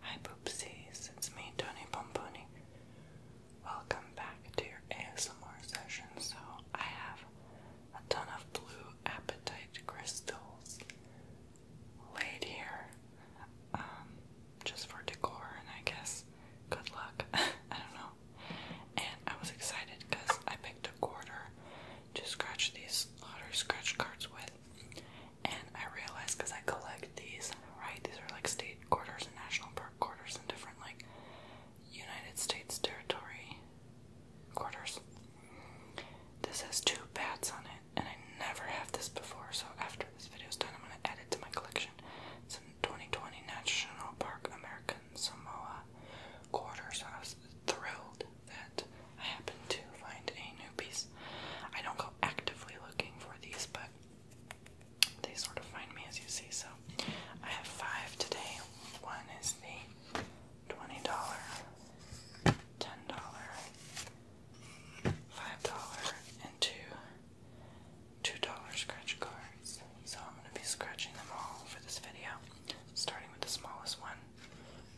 Hi Poopsies, it's me, Tony Pomponi. Welcome back to your ASMR session. So, I have a ton of blue appetite crystals laid here um, just for decor, and I guess good luck. I don't know. And I was excited because I picked a quarter to scratch these lottery scratch cards with. And I realized because I collect these, right? These are like state quarters and national park quarters and different like United States territory quarters. This has two bats on it, and I never have this before. So after this video is done, I'm gonna add it to my collection. It's a 2020 National Park American Samoa quarters. I was thrilled that I happen to find a new piece. I don't go actively looking for these, but they sort of find me as you see. So I have five today. One is the $20, $10, $5, and two $2 scratch cards. So I'm going to be scratching them all for this video, starting with the smallest one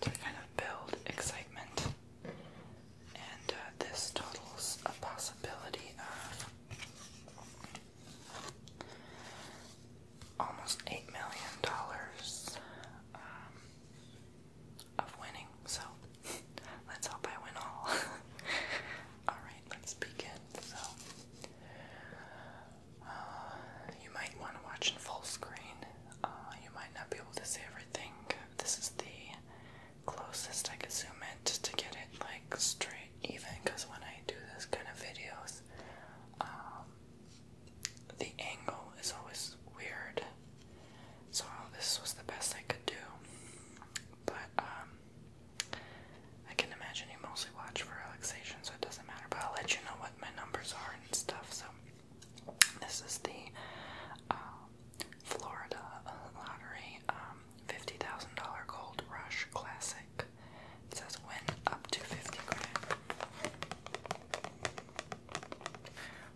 to kind of build excitement. And uh, this totals a possibility of almost $8 million um, of winning. So let's hope I win all. Alright, let's begin. So, uh, you might want to watch in full screen uh, you might not be able to see everything. This is the closest I could zoom it to get it like straight even because when I do this kind of videos, um, the angle is always weird. So this was the best I could do. But um, I can imagine you mostly watch for relaxation, so it doesn't matter. But I'll let you know what my numbers are and stuff. So this is the um, Florida Lottery um, $50,000 Gold Rush Classic. It says win up to 50 grand.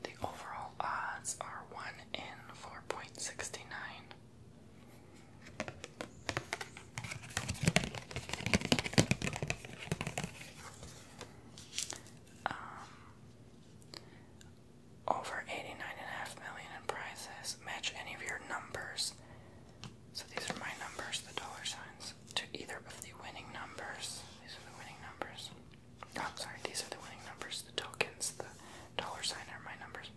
The overall odds are 1 in 4.69 um, over eighty nine and a half million in prizes. Match any of your numbers. So these are my numbers, the dollar signs, to either of the winning numbers. These are the winning numbers. Oh, I'm sorry, these are the winning numbers. The tokens, the dollar sign are my numbers.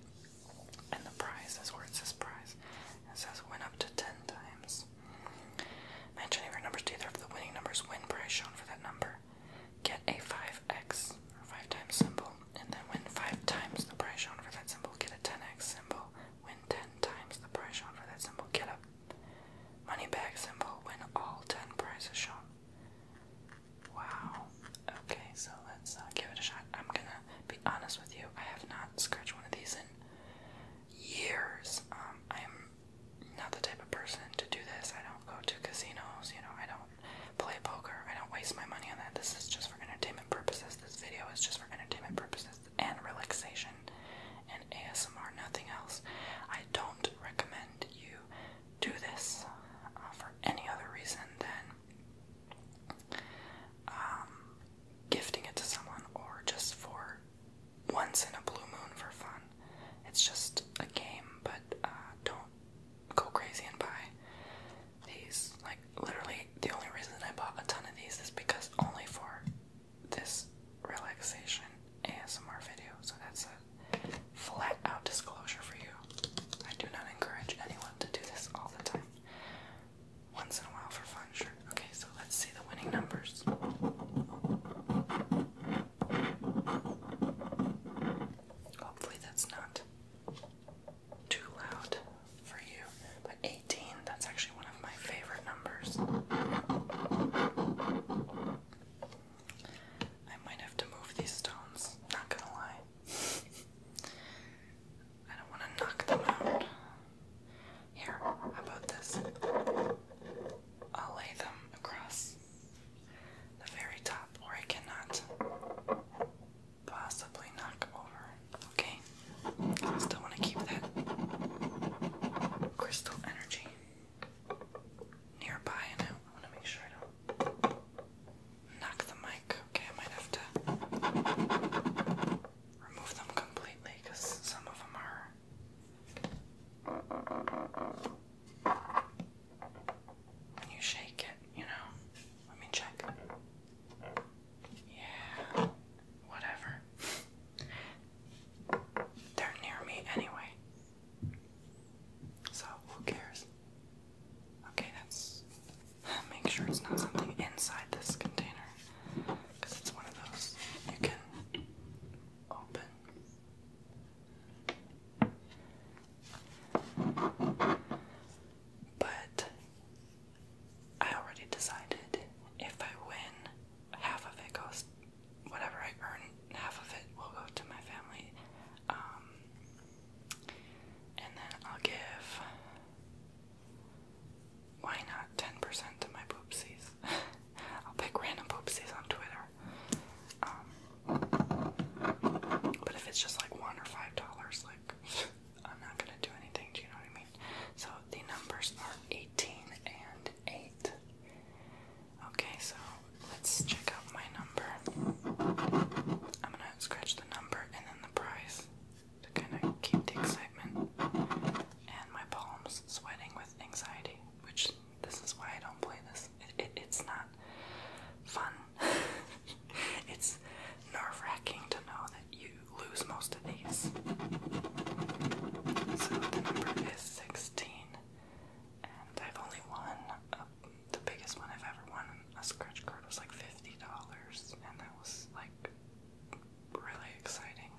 And the prize is where it says prize. It says win up to 10 times numbers. your numbers to either the winning numbers win prize shown for that number. Get a 5x or 5 times symbol, and then win 5 times the prize shown for that symbol. Get a 10x symbol, win 10 times the prize shown for that symbol. Get a money bag symbol, win all 10 prizes shown. Wow. Okay, so let's uh, give it a shot. I'm gonna be honest with you, I have not scratched one of these in years. I'm um, not the type of person to do this. I don't go to casinos, you know, I don't play poker. I don't waste my money on that. This is just for entertainment purposes. This video is just for entertainment purposes and relaxation and ASMR, nothing else. I don't recommend you do this uh, for any other reason than um, gifting it to someone or just for once in a blue moon for fun. It's just a game, but uh, don't go crazy and buy these. Like, literally, the only reason I bought a ton of these is because only for this relaxation ASMR video. So that's a flat out disclosure for you. I do not encourage anyone to do this all the time. Once in a while for fun, sure. Okay, so let's see the winning numbers. Hopefully, that's not too loud for you. But 18, that's actually one of my favorite numbers. I might have to move these stones, not gonna lie. I don't want to knock them out. Here, about this? I'll lay them across the very top, or I cannot possibly knock over. Okay? I still want to keep that crystal energy nearby, and I want to make sure I don't knock the mic. Okay, I might have to remove them completely because some of them are you shake it, you know. Let me check. Yeah, whatever. They're near me anyway. So, who cares? Okay, that's. Make sure it's not something inside this container. Because it's one of those you can open. But I already decided if I win, half of it goes, whatever I earn, half of it will go to my family. Um, and then I'll give why not 10% of my poopsies? I'll pick random poopsies on Twitter. Um, but if it's just like one or five dollars, like I'm not gonna do anything. Do you know what I mean? So the numbers are 18 and 8. Okay, so let's check out my number. I'm gonna scratch the number and then the price to kind of keep the excitement. And my palms sweating with anxiety which this is why I don't play this. It, it's not fun. it's nerve wracking to know that you lose most of these. So the number is 16, and I've only won uh, the biggest one I've ever won. A scratch card was like $50, and that was like really exciting.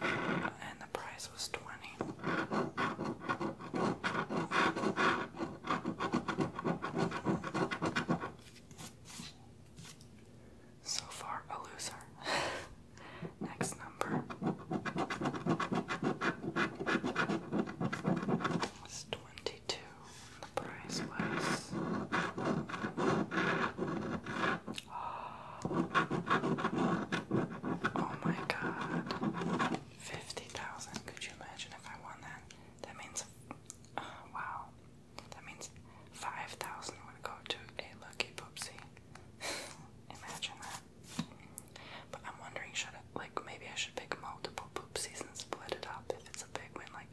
And the price was 20. So far, a loser. Next number is 22. The price was Oh my god. 50,000. Could you imagine if I won that? That means, uh, wow. That means 5,000 to go to a lucky poopsie. imagine that. But I'm wondering, should I, like, maybe I should pick multiple poopsies and split it up if it's a big win, like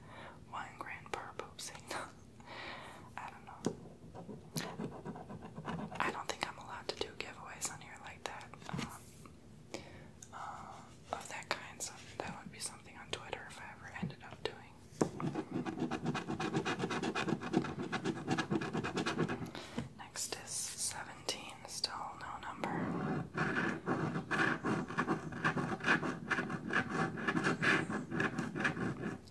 one grand per poopsie. I don't know. I don't think I'm allowed to do giveaways on here like that. Um, uh, of that kind, so that would be something on Twitter if I ever ended up doing. Next is 17, still no number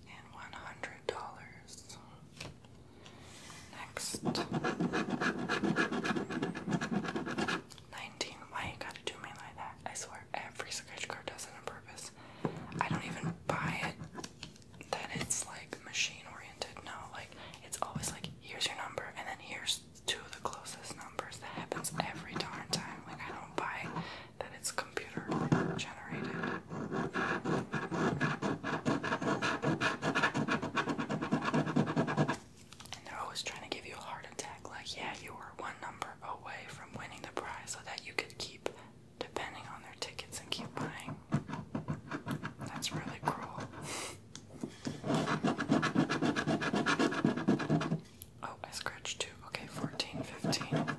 and one hundred dollars. Next, nineteen. Why you gotta do me like that? I swear, every scratch card does it on purpose. I don't even buy it that it's like machine oriented. No, like it's always like here's your number, and then here's two of the closest numbers. That happens every darn time. Like I don't buy it that it's computer generated. And they're always trying to give you a heart attack, like, yeah, you were one number away from winning the prize so that you could keep depending on their tickets and keep buying. That's really cruel. oh, I scratched too. Okay, 14, 15. Nothing.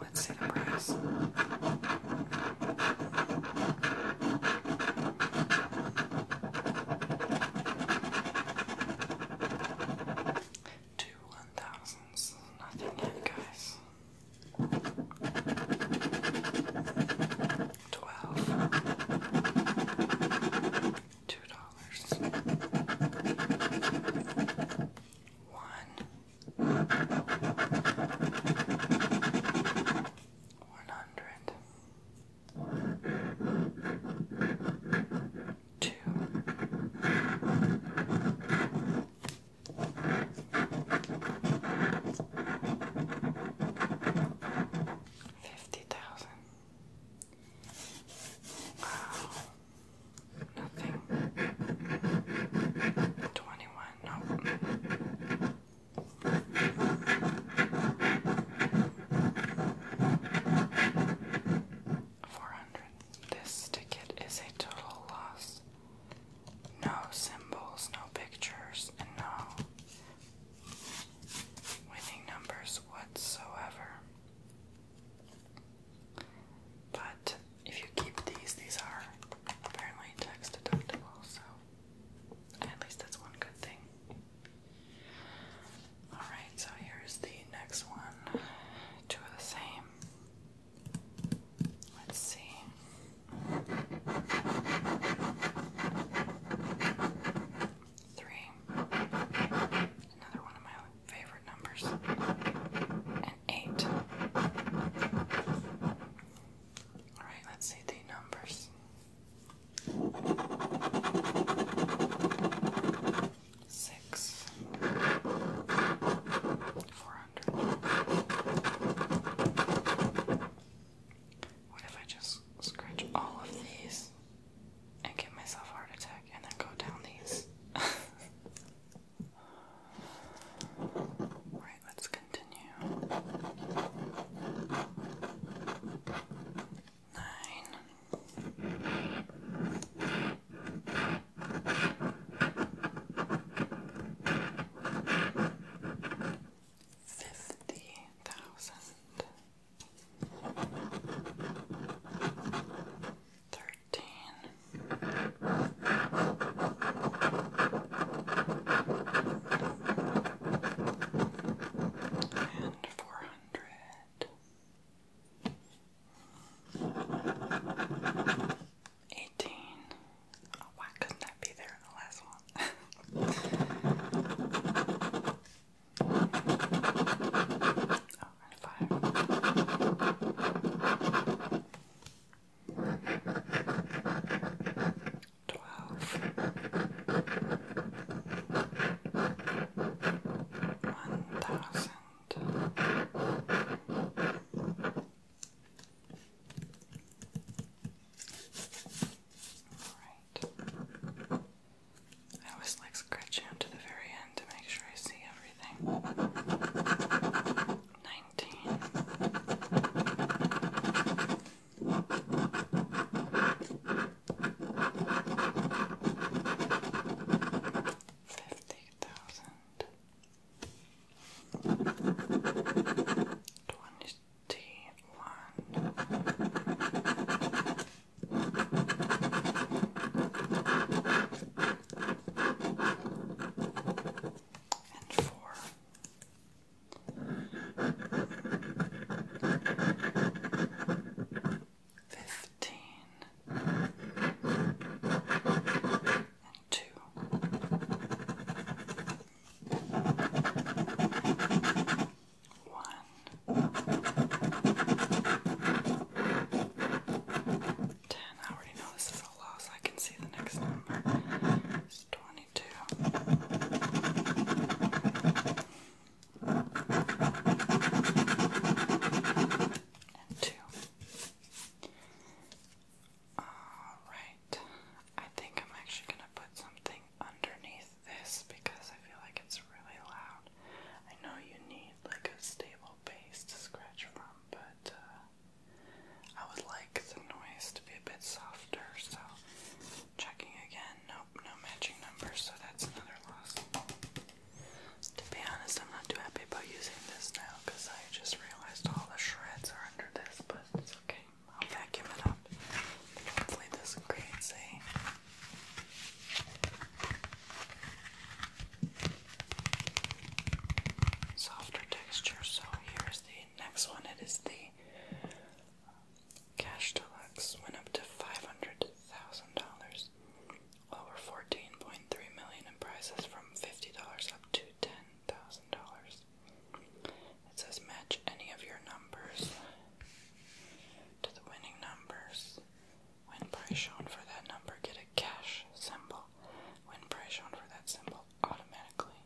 Let's see the price. Two one thousands. Nothing yet, guys. Twelve two dollars, one, one hundred, two. Fifty thousand, Nothing. 21, nope. Four hundred. This ticket is a total loss. No symbols, no pictures, and no winning numbers whatsoever. But if you keep these, these are apparently tax deductible, so at least that's one good thing. Alright, so here's the next one. Two of the same. Let's see. Three. Another one of my favorite numbers. and eight. Alright, let's see the numbers. Six. Four hundred. What if I just scratch all of these? and get myself a heart attack and then go down these. right, let's continue. Nine. Fifty thousand Thirteen. And oh, four why couldn't that be there in the last one? Oh, and fire. Twelve. One thousand. All right. I always like scratching up to the very end to make sure I see everything. Nineteen. Fifty thousand. Twenty and four. Fifteen and two. One. I already know this is a loss. I can see the next number. It's twenty-two. And two. Alright. I think I'm actually going to put something underneath this because I feel like it's really loud. I know you need like a stable base to scratch from, but uh, I would like the noise to be a bit softer, so checking again. Nope, no matching numbers, so that's another loss. To be honest, I'm not too happy about using this now because I just realized all the shreds are under this, but it's okay. I'll vacuum it up. Hopefully, this creates a Softer texture. So here's the next one. It is the Cash Deluxe. Went up to five hundred thousand dollars. Over fourteen point three million in prices from fifty dollars up to ten thousand dollars. It says match any of your numbers to the winning numbers. When price shown for that number, get a cash symbol. When price shown for that symbol, automatically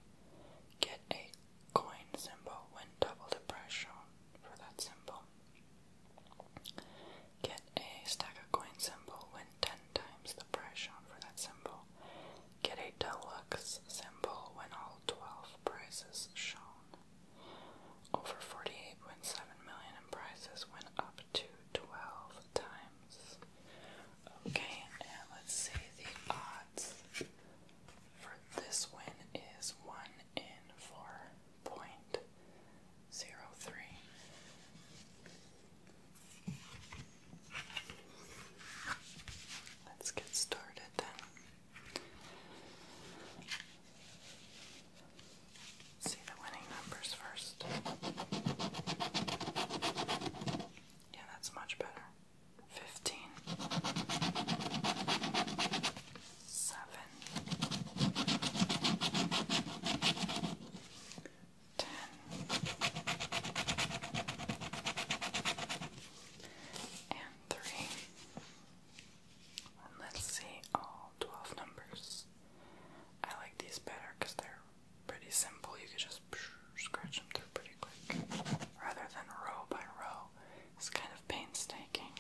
get a coin symbol when double the price shown for that symbol. Get a stack of coin symbol when ten times the price shown for that symbol. Get a deluxe symbol when all twelve prices shown over 48.7 million in prices went up to 12 times. Okay, and let's see the odds for this win is 1 in 4.03. Let's get started see the winning numbers first. Yeah, that's much better. Fifteen, seven, ten, and three let's see all 12 numbers. I like these better because they're pretty simple. You can just scratch them through pretty quick. Rather than row by row, it's kind of painstaking.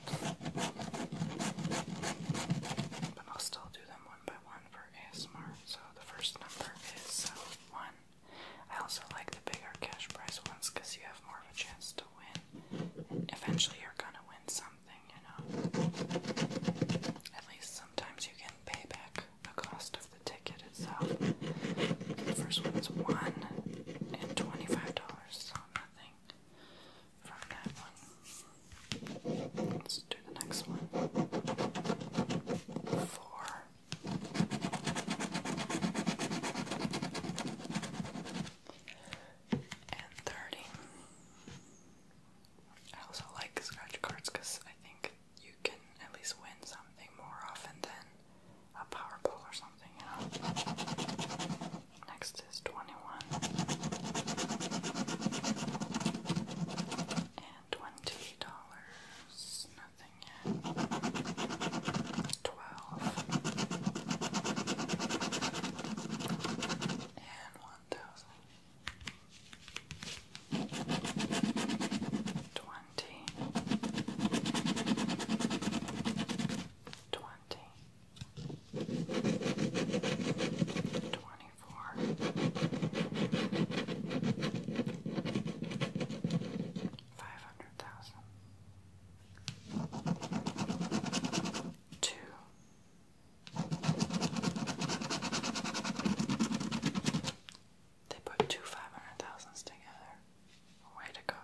But I'll still do them one by one for ASMR. So the first number is uh, 1. I also like the bigger cash prize ones because you have more of a chance to win. eventually you're gonna win some something, you know. At least sometimes you can pay back the cost of the ticket itself. The first one's one and twenty-five dollars, so nothing from that one. Let's do the next one. Four and 30. I also like scratch cards because I think you can at least win something more often than a Powerball or something, you know? Next is 21. And twenty dollars. Nothing yet. Twelve and one thousand twenty twenty twenty four five hundred thousand two they put two five hundred thousands together. Way to go.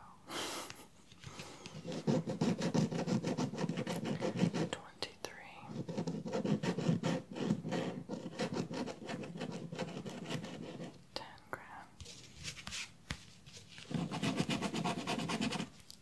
Twenty three. Ten grand.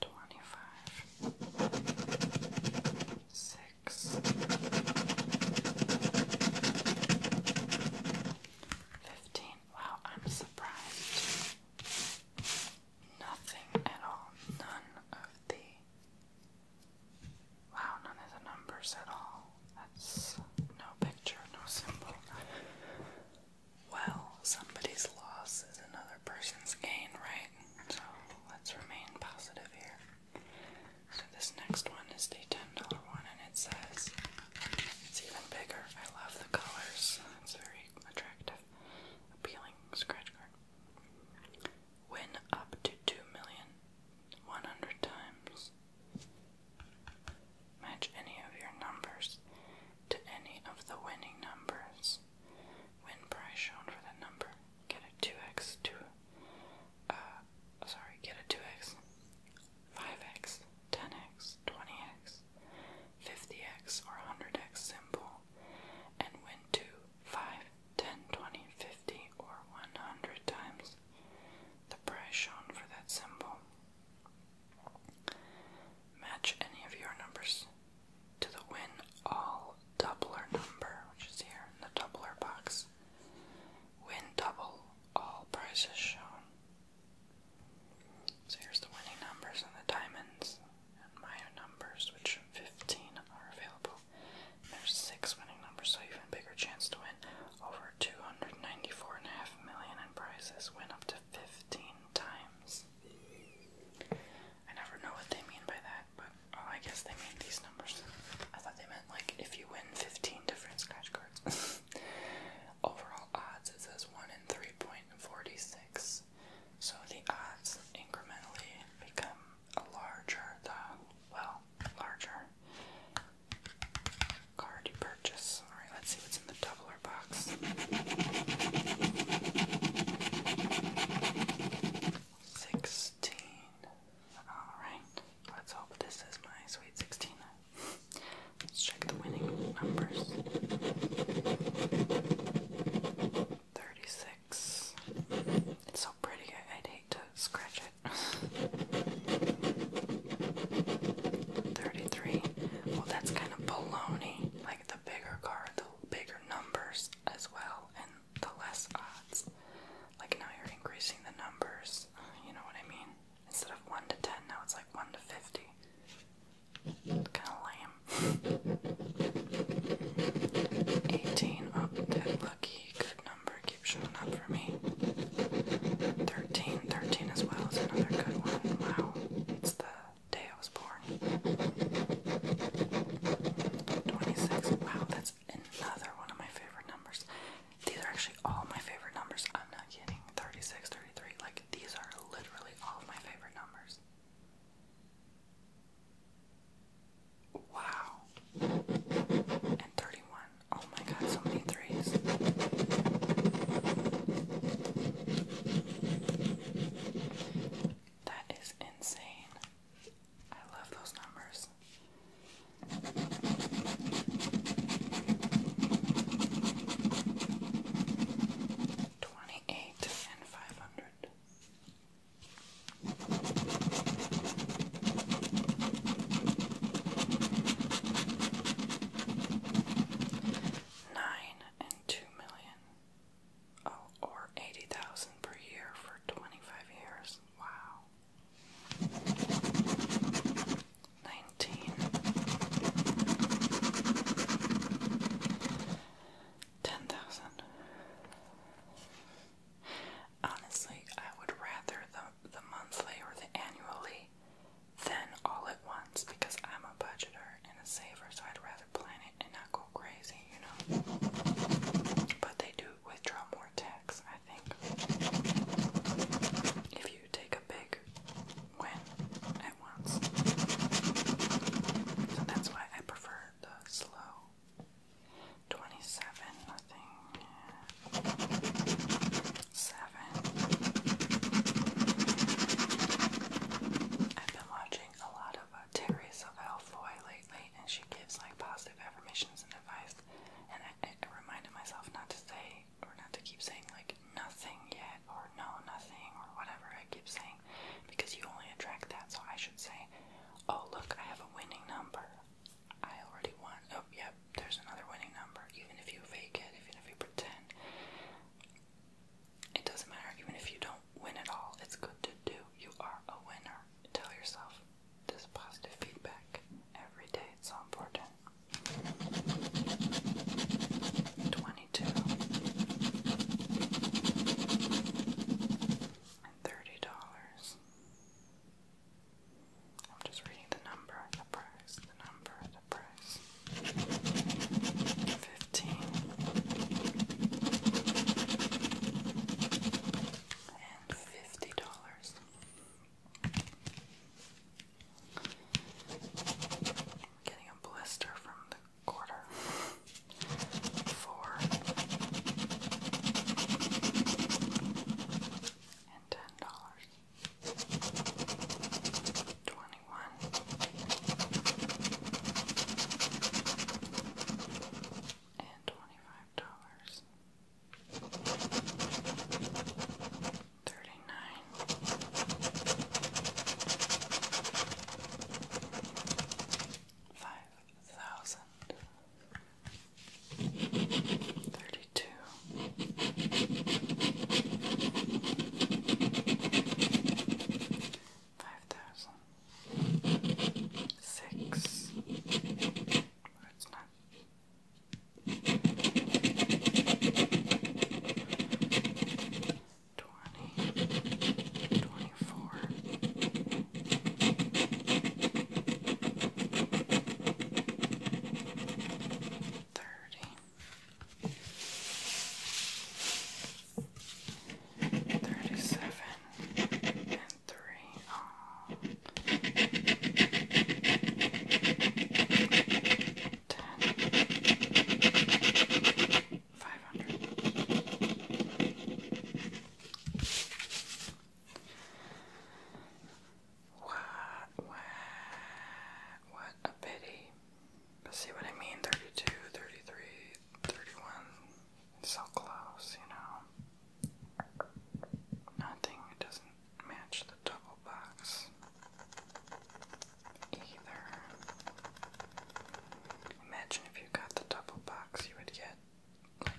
twenty-five, six, fifteen. Wow, I'm surprised. Nothing at all. None of the. Wow, none of the numbers at all. That's no picture, no symbol. Well, somebody's loss is another person's gain, right? So let's remain positive here. So this next one is the $10 one, and it says it's even bigger. I love the colors, it's very attractive, appealing scratch card. Win up to 2 million 100 times. Match any of your numbers to any of the winning numbers. Win prize shown for that number. Get a 2x to, uh, sorry, get a 2x, 5x, 10x, 20x, 50x, or 100x symbol, and win 2, 5, 10, 20, 50, or 100 times the prize shown for that symbol. Match any of your numbers to the win all doubler number, which is here in the doubler box. Win double all prizes shown. So here's the winning numbers and the diamonds and my numbers, which 15 are available. there's six winning numbers, so even bigger chance to win over 294.5 million in prizes. Win up to 15 times. I never know what they mean by that, but oh, I guess they mean these numbers. I thought they meant like if you win 15 different scratch cards. Overall odds, it says 1 in 3.46. So the odds incrementally become a larger, the, well, larger card you purchase. Alright, let's see what's the doubler box. Sixteen. Alright. Let's hope this is my sweet sixteen. Let's check the winning numbers. Thirty-six. It's so pretty, I'd hate to scratch it. 33. Well, that's kind of baloney. Like, the bigger card, the bigger numbers as well, and the less odds. Like now you're increasing the numbers, you know what I mean? Instead of 1 to 10, now it's like 1 to 50. Kind of lame. 18, up, oh, dead lucky, good number, keeps showing up for me. 13, 13 as well is another good one. Wow, it's the day I was born. 26. Wow, that's another one of my favorite numbers. These are actually all my favorite numbers. I'm not kidding. 36, 33. Like, these are literally all of my favorite numbers. Wow. And 31. Oh my god, so many threes. That is insane. I love those numbers. Twenty eight and five and two million. Oh, or eighty thousand per year for twenty-five years. Wow. Nineteen. Ten thousand. Honestly, I would rather the the monthly or the annually thin all at once because I'm a budgeter and a saver, so I'd rather plan it and not go crazy, you know. But they do withdraw more tax, I think, if you take a big win at once. So that's why I prefer the slow. 27, nothing. 7. I've been watching a lot of uh, Terry Savelle Foy lately, and she gives like positive affirmations and advice. And I, I, I reminded myself not to say or not to keep saying like nothing yet or no nothing or whatever I keep saying because you only attract that. So I should say, oh look, I have a winning number. I already won. Oh yep, there's another winning number. Even if you fake it, even if you pretend. It doesn't matter, even if you don't win at all, it's good to do. You are a winner. Tell yourself this positive feedback every day, it's so important. 22 and $30. I'm just reading the number, the price, the number, price. Fifteen. And fifty dollars. Getting a blister from the quarter. Four and ten dollars. Twenty. 21 and $25. Thirty-nine, five thousand, thirty-two, Five thousand six. But it's not. Twenty. Twenty-four. Thirty. Thirty-seven and three. Oh. Ten. Five hundred. What a pity see what I mean? 32, 33, 31. It's so close, you know. Nothing, doesn't match the double box either. Imagine if you got the double box, you would get like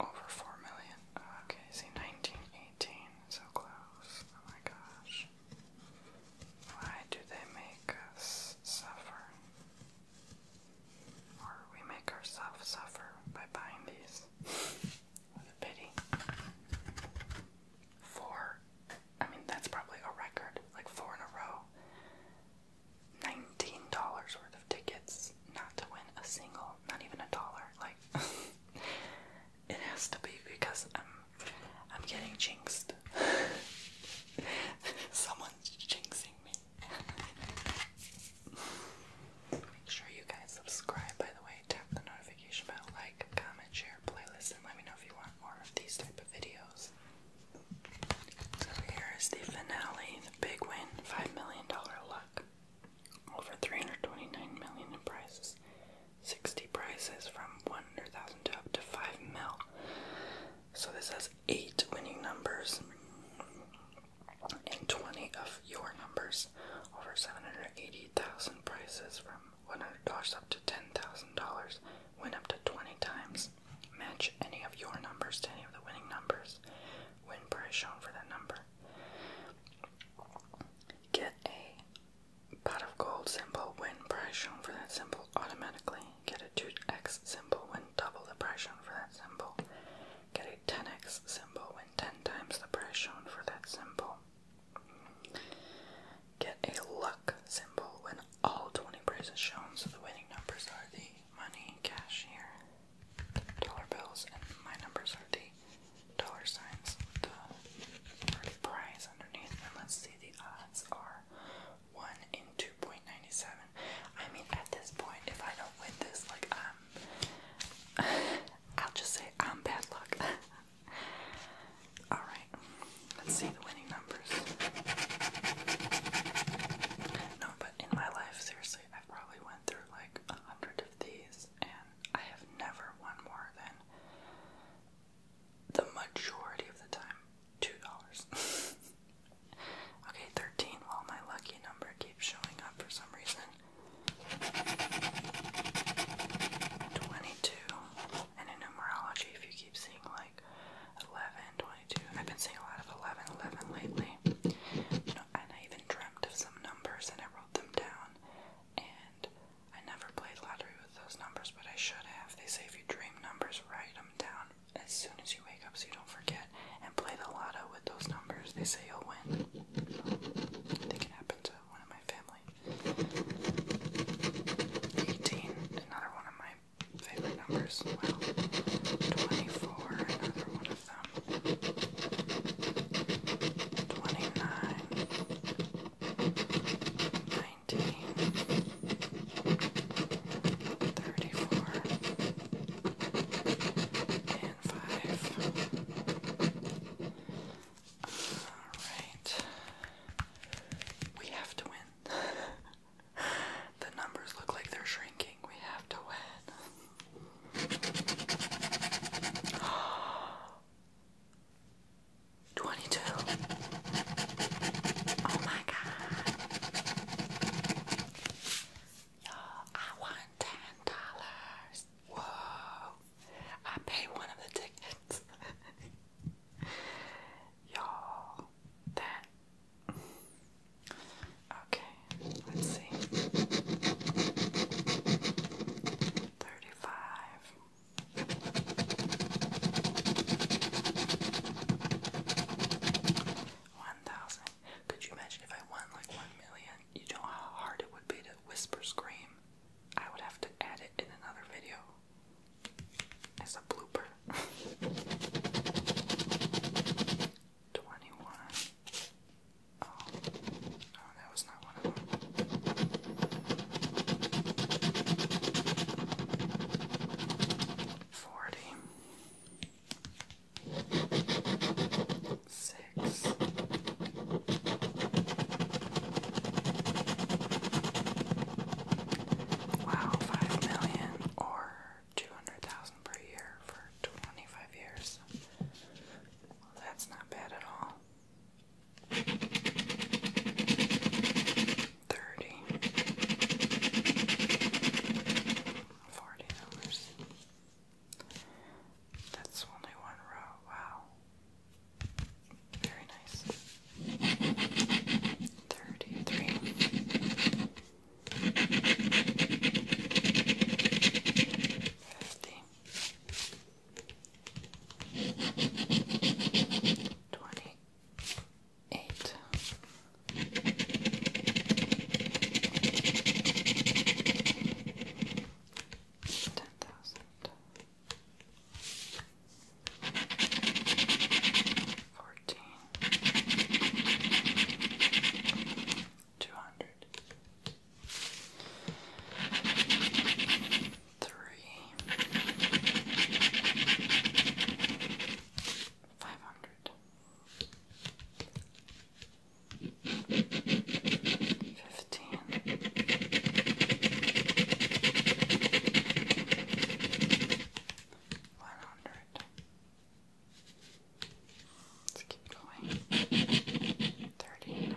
over 4 million. Okay, see, 1918, so close. Oh my gosh. Why do they make us suffer? Or we make ourselves suffer by buying these. what a pity. Four, I mean, that's probably a record, like four in a row. $19 worth of tickets, not to win a single, not even a dollar. Like, It has to be because I'm I'm getting jinxed. Someone's jinxing me. Make sure you guys subscribe by the way, tap the notification bell, like, comment, share, playlist, and let me know if you want more of these type of videos. So here is the finale, the big win, $5 million luck. Over $329 in prizes. 60 prizes from 100,000 to up to 5 mil. So this has 8 winning numbers and 20 of your numbers. Over 780,000 prizes from $100 up to $10,000. Win up to 20 times. Match any of your numbers to any of the winning numbers. Win prize shown for that number. Get a pot of gold symbol when price shown for that symbol automatically. Get a 2x symbol when double the price shown for that symbol. Get a 10x symbol when 10 times the price shown for that symbol. Get a luck symbol when all 20 prizes shown, so the winning numbers are the money, cash here, dollar bills, and my numbers are the dollar signs with the prize underneath. And let's see the are 1 in 2.97. I mean, at this point, if I don't win this, like, um, I'll just say I'm bad luck. Alright, let's see the winning numbers. No, but in my life, seriously, I've probably went through like a hundred of these, and I have never won more than the majority of the time two dollars. okay, thirteen. Well, my lucky number keeps showing up for some reason. Twenty-two, and in numerology, if you keep seeing like 11, I've been seeing a lot of 11, lately. and I even dreamt of some numbers and I wrote them down. And I never played lottery with those numbers, but I should have. They say if you dream numbers, write them down as soon as you wake up so you don't forget, and play the lotto with those numbers. They say you'll win. I think it happened to one of my family. 18, another one of my favorite numbers. Well, 24, another one of them. 29, 19. 34, and 5. Alright. We have to win. the numbers look like they're shrinking. We have to win. 22. Oh my god. Yo, I won $10. Whoa. I paid one of the tickets. Y'all, that. Okay, let's see. 35. One thousand. Could you imagine if I won like one million? You know how hard it would be to whisper scream. I would have to add it in another video as a blooper. Twenty-one. Oh, oh, that was not Forty six Wow, five million or two hundred thousand per year for twenty five years. Well, that's not bad at all. Thirty. Forty That's only one row. Wow. Very nice. Thirty-three twenty eight. Ten thousand fourteen two hundred three, five hundred, fifteen, one hundred. Let's keep going. Thirty-nine.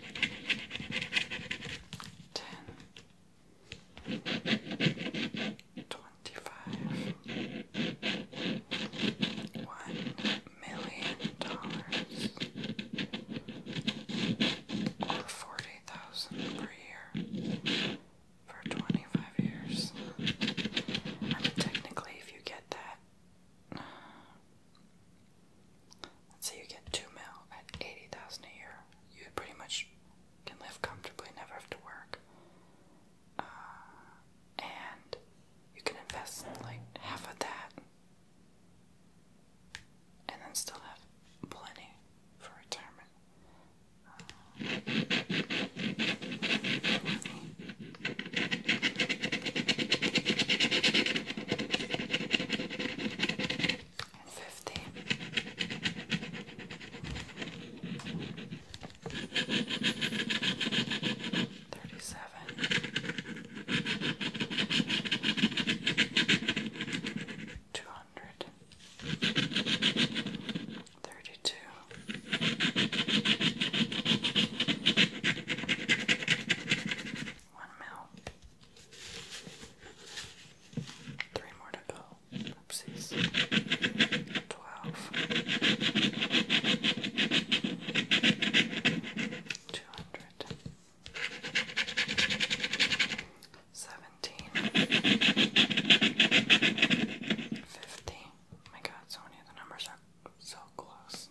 ten, twenty-five, one million dollars, or forty thousand per year for twenty-five years. I mean, technically, if you get that. Let's say you get two mil at eighty thousand a year. You pretty much can live comfortably, never have to work. Uh, and you can invest like half of that and then still have plenty for retirement. Uh, and fifty. Thirty-seven. Two hundred. Thirty-two. One mil. Three more to go. Oopsies. Twelve. Two hundred. Seventeen. Fifty. Oh my god, so many of the numbers are so close.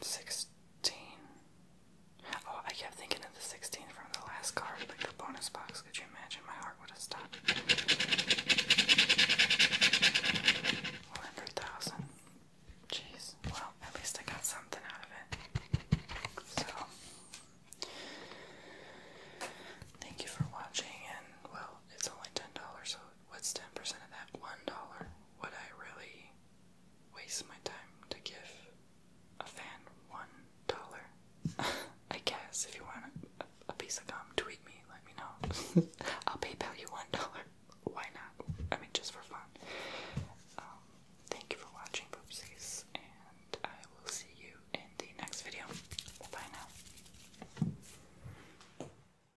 Sixteen. Oh, I kept thinking of the sixteen from the last card, like the bonus box. Could you imagine? My heart would have stopped. One hundred thousand. Jeez. Well, at least I got something out of it. So, thank you for watching, and well, it's only ten dollars, so what's 10% of that $1? Would I really waste my time to give a fan $1? I guess if you want a, piece of gum, tweet me, let me know. I'll PayPal you $1. Why not? I mean, just for fun. Um, thank you for watching, Boopsies, and I will see you in the next video. Bye now.